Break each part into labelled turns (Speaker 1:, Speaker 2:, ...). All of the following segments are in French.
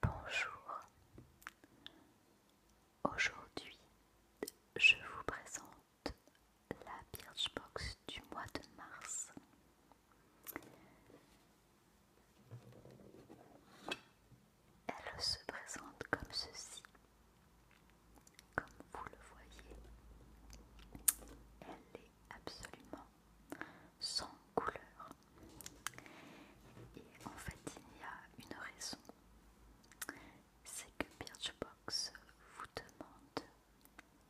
Speaker 1: Bonjour. Aujourd'hui, je vous présente la Birchbox du mois de mars. Elle se présente comme ceci. Comme vous le voyez, elle est absolument sans couleur. Et en fait, il y a une raison. C'est que Birchbox vous demande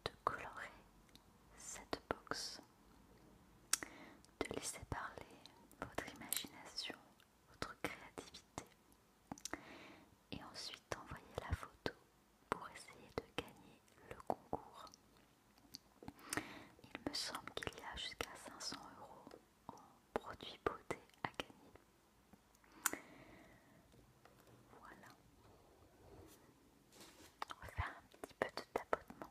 Speaker 1: de colorer cette box, de laisser parler votre imagination, votre créativité, et ensuite envoyer la photo pour essayer de gagner le concours. Il me semble qu'il y a jusqu'à 500 euros en produits beauté à gagner. Voilà. On va faire un petit peu de tapotement.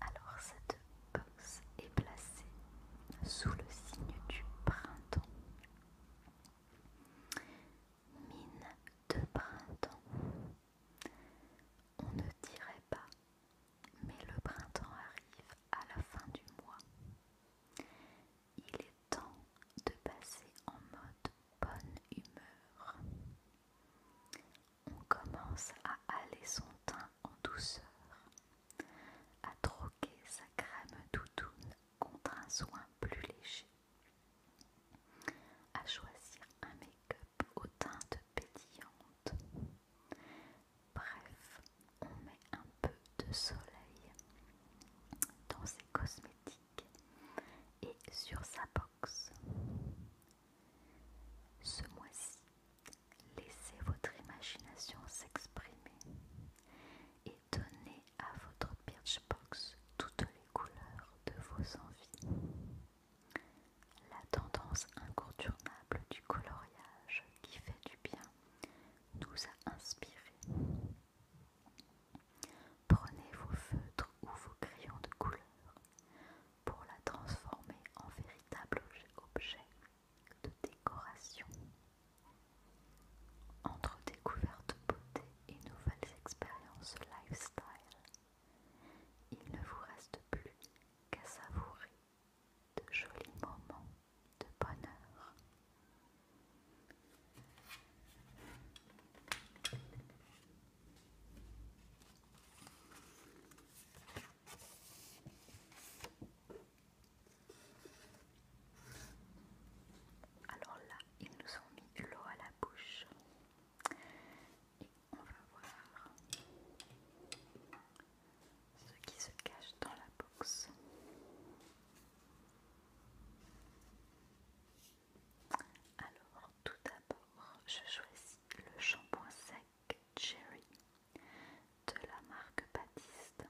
Speaker 1: Alors cette box est placée sous le signe du printemps. Mine de printemps. On ne dirait pas, mais le printemps arrive à la fin du mois. Il est temps de passer en mode bonne humeur. On commence à aller son teint en douceur, à troquer sa crème doudoune contre un soin plus léger. À choisir un make-up aux teintes pétillantes. Bref, on met un peu de soleil dans ses cosmétiques et sur sa box. Ce mois-ci, laissez votre imagination s'exprimer et donnez à votre Birchbox toutes les couleurs de vos envies. La tendance incontournable du coloriage qui fait du bien nous a inspirés. Prenez vos feutres ou vos crayons de couleur pour la transformer en véritable objet de décoration entre découvertes beauté et nouvelles expériences lifestyle, il ne vous reste plus qu'à savourer de jolis moments de bonheur. Alors là, ils nous ont mis l'eau à la bouche. Et on va voir ce qui se cache dans la box. Alors, tout d'abord, je choisis le shampoing sec Cherry de la marque Baptiste.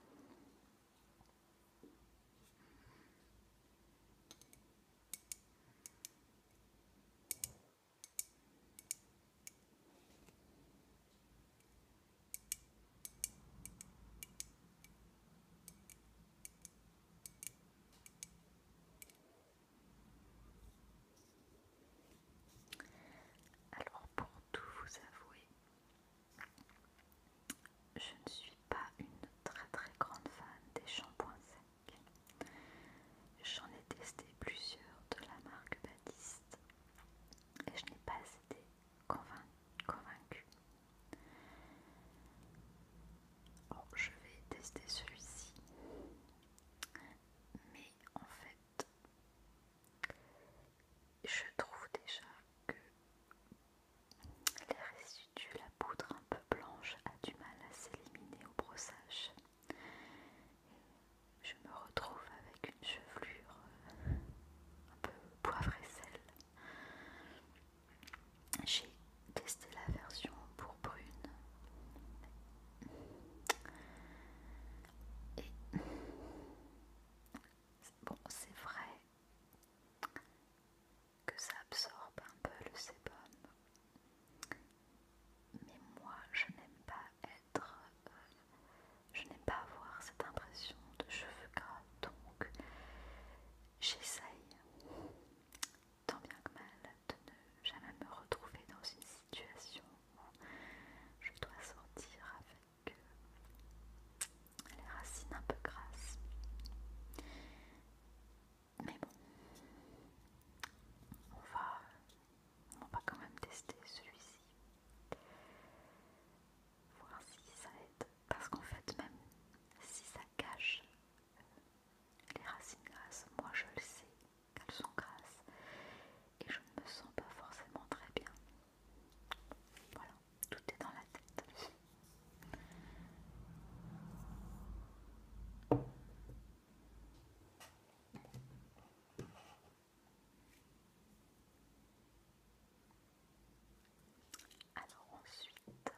Speaker 1: Alors pour tout vous avouer, je ne suis pas une très très grande fan des shampoings secs. J'en ai testé plusieurs de la marque Baptiste et je n'ai pas été convaincue. je vais tester celui-ci, mais en fait, je trouve déjà que les résidus, la poudre un peu blanche a du mal à s'éliminer au brossage. Je me retrouve avec une chevelure euh, un peu poivre et sel. J'ai testé la version pour brune. Et bon, c'est vrai, que ça absorbe un peu le sébum. Mais moi, je n'aime pas être, euh, je n'aime pas avoir cette impression de cheveux gras, donc j'essaye tant bien que mal de ne jamais me retrouver dans une situation où je dois sortir avec que les racines un peu grasses. Mais bon, on va, on va quand même tester celui-ci. Voir si ça aide. Parce qu'en fait, même si ça cache les racines grasses, moi je le sais qu'elles sont grasses et je ne me sens pas forcément très bien voilà, tout est dans la tête. Alors ensuite,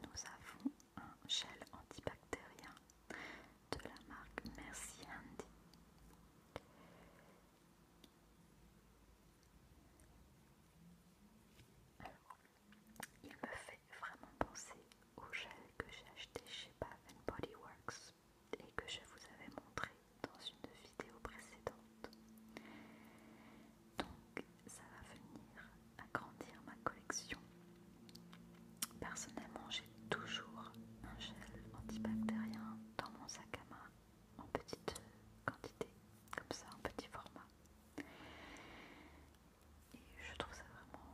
Speaker 1: nous avons un gel antibactérien de la marque Merci Handy. Il me fait vraiment penser au gel que j'ai acheté chez Bath Body Works et que je vous avais montré dans une vidéo précédente. Donc ça va venir agrandir ma collection. Personnellement j'ai toujours un gel antibactérien dans mon sac à main en petite quantité, comme ça, en petit format. Et je trouve ça vraiment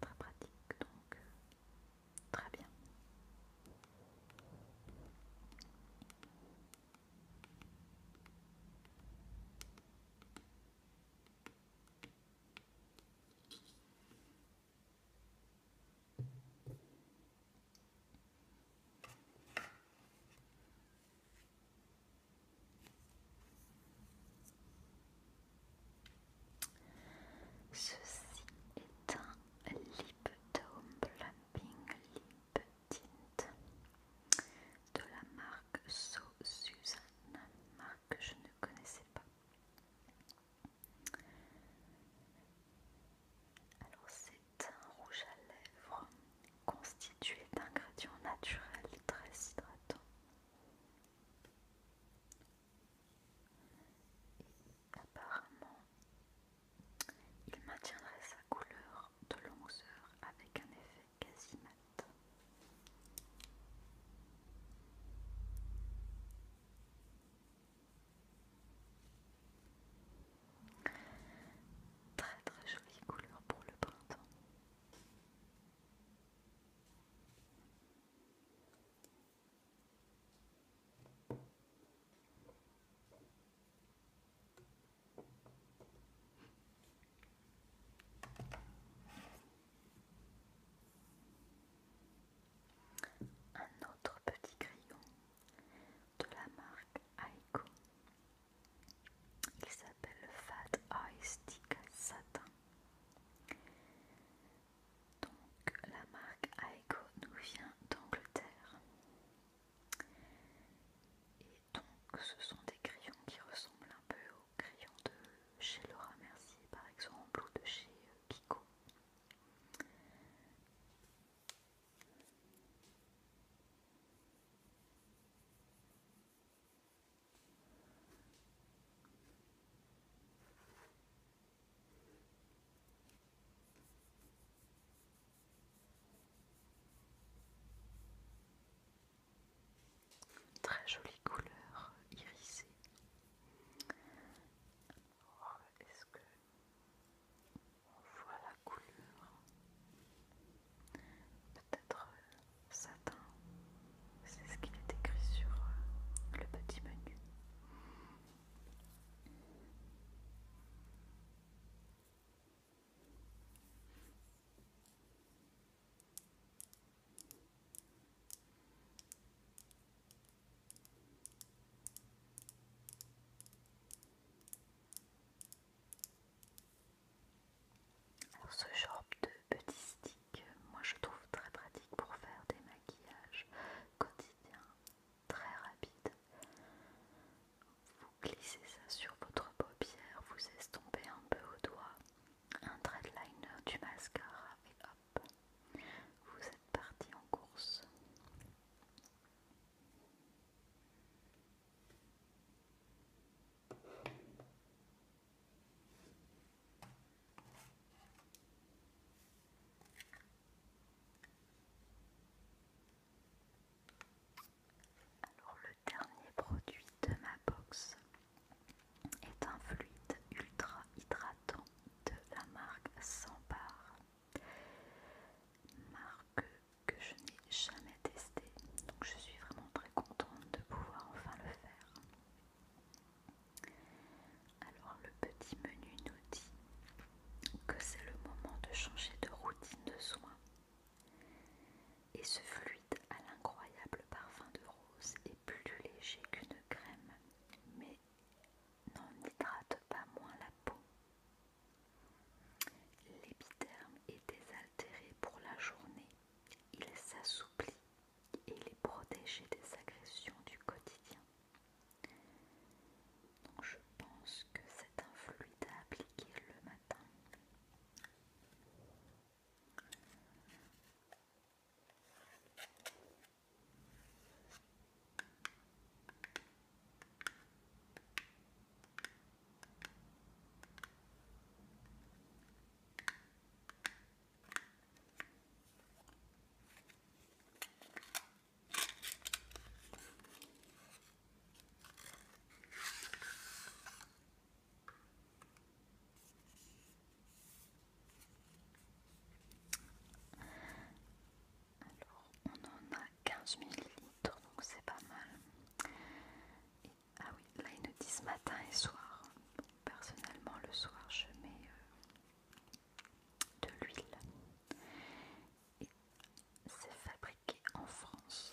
Speaker 1: très pratique, donc euh, très bien. Ceci est un lip Dome plumping lip tint de la marque So Suzanne, marque que je ne connaissais pas. Alors un rouge à lèvres constitué d'ingrédients naturels très hydratants. apparemment, il maintiendrait sa couleur de longueur avec un effet quasi mat. Très très jolie couleur pour le printemps. Un autre petit crayon de la marque Aiko il s'appelle le Fat Eye Stick Satin. Donc la marque Aiko nous vient d'Angleterre. Et donc ce sont des crayons qui ressemblent un peu aux crayons de chez Laura Mercier par exemple ou de chez euh, Kiko. Très jolie couleur irisée. Est-ce que on voit la couleur peut-être euh, satin c'est ce qu'il est écrit sur euh, le petit menu alors ce genre de petit stick, moi je trouve très pratique pour faire des maquillages quotidiens, très rapides. Vous glissez ça sur votre paupière, vous estompez un peu au doigt un trait liner, du mascara et hop, vous êtes parti en course. Alors le dernier produit de ma box est un fluide ultra hydratant de la marque Sambar, que je n'ai jamais testé. Donc je suis vraiment très contente de pouvoir enfin le faire. Alors le petit menu nous dit que c'est le moment de changer de routine de soins. Et ce fluide à l'incroyable parfum de rose est plus léger qu'une crème, mais n'en hydrate pas moins la peau. L'épiderme est désaltéré pour la journée, il s'assouplit et il est protégé des agressions du quotidien. Donc je pense que c'est un fluide à appliquer le matin. Alors, on en a 15 ml, donc c'est pas mal ah oui, là ils nous disent matin et soir. personnellement, le soir, je mets euh, de l'huile. Et c'est fabriqué en France.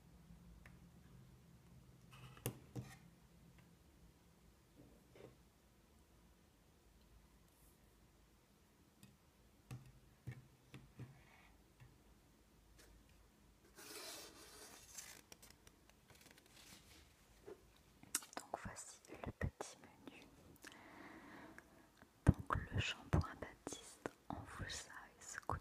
Speaker 1: Donc voici le petit menu. Donc le shampoing Baptiste en full size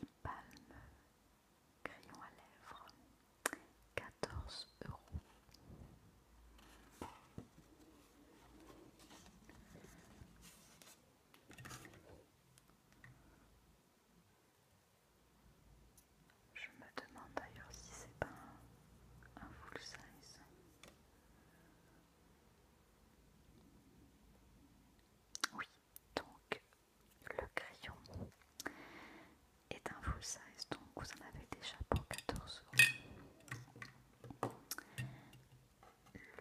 Speaker 1: Lipalme, crayon à lèvres, 14 euros. Je me demande d'ailleurs si c'est pas un, un full size. Oui, donc le crayon est un full size, donc vous en avez déjà pour 14 euros.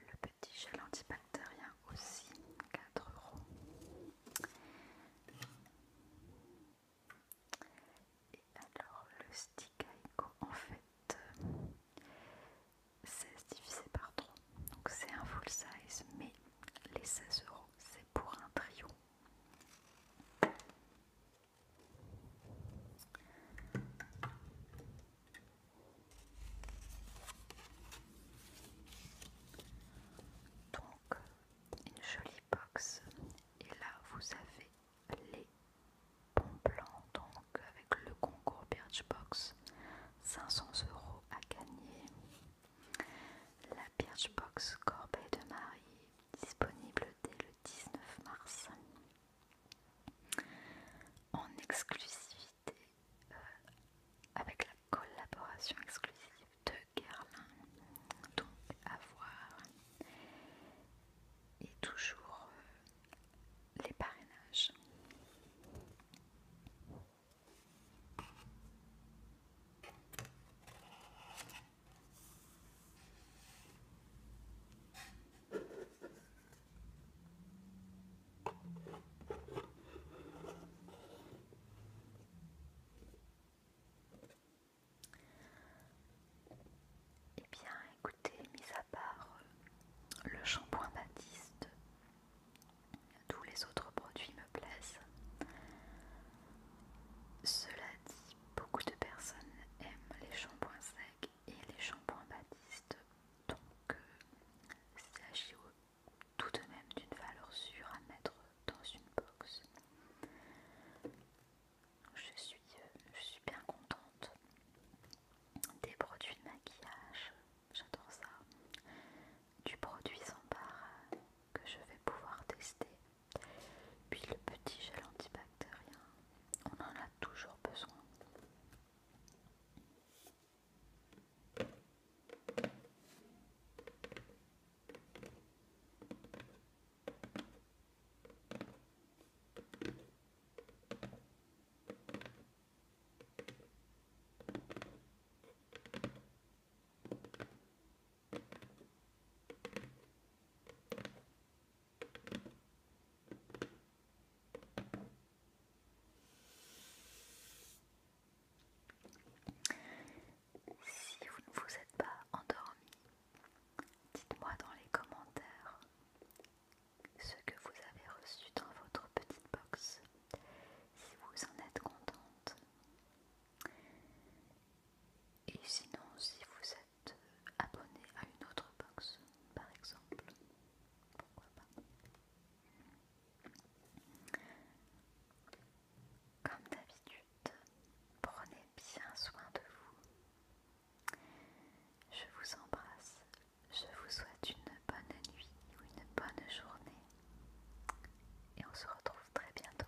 Speaker 1: Le petit gel antibactérien aussi, 4 euros. Et alors le stick Aiko, en fait, 16 euh, divisé par 3, donc c'est un full size, mais les 16 euros c'est pour un trio. Donc, une jolie box. Et là, vous avez les bons plans, donc avec le concours Birchbox, 500 euros à gagner. La Birchbox Corbeil de Marie, disponible dès le 19 mars. En exclusivité, euh, avec la collaboration exclusive de Guerlain, donc à voir. Et toujours euh, les parrainages. Eh bien, écoutez, mis à part le shampoing Baptiste tous les autres produits me plaisent. Cela dit, beaucoup de personnes aiment les shampoings secs et les shampoings baptistes, donc il euh, s'agit tout de même d'une valeur sûre à mettre dans une box. Je suis, euh, je suis bien contente. Des produits de maquillage, j'adore ça du produit sans euh, que je vais pouvoir tester. Puis le petit gel antibactérien, on en a toujours besoin. Si vous ne vous êtes pas endormi, dites-moi dans les commentaires ce que vous avez reçu dans votre petite box, si vous en êtes contente, et sinon, si vous êtes abonné à une autre box, par exemple, pourquoi Comme d'habitude, prenez bien soin de vous. Je vous embrasse. Je vous souhaite une bonne nuit ou une bonne journée. Et on se retrouve très bientôt.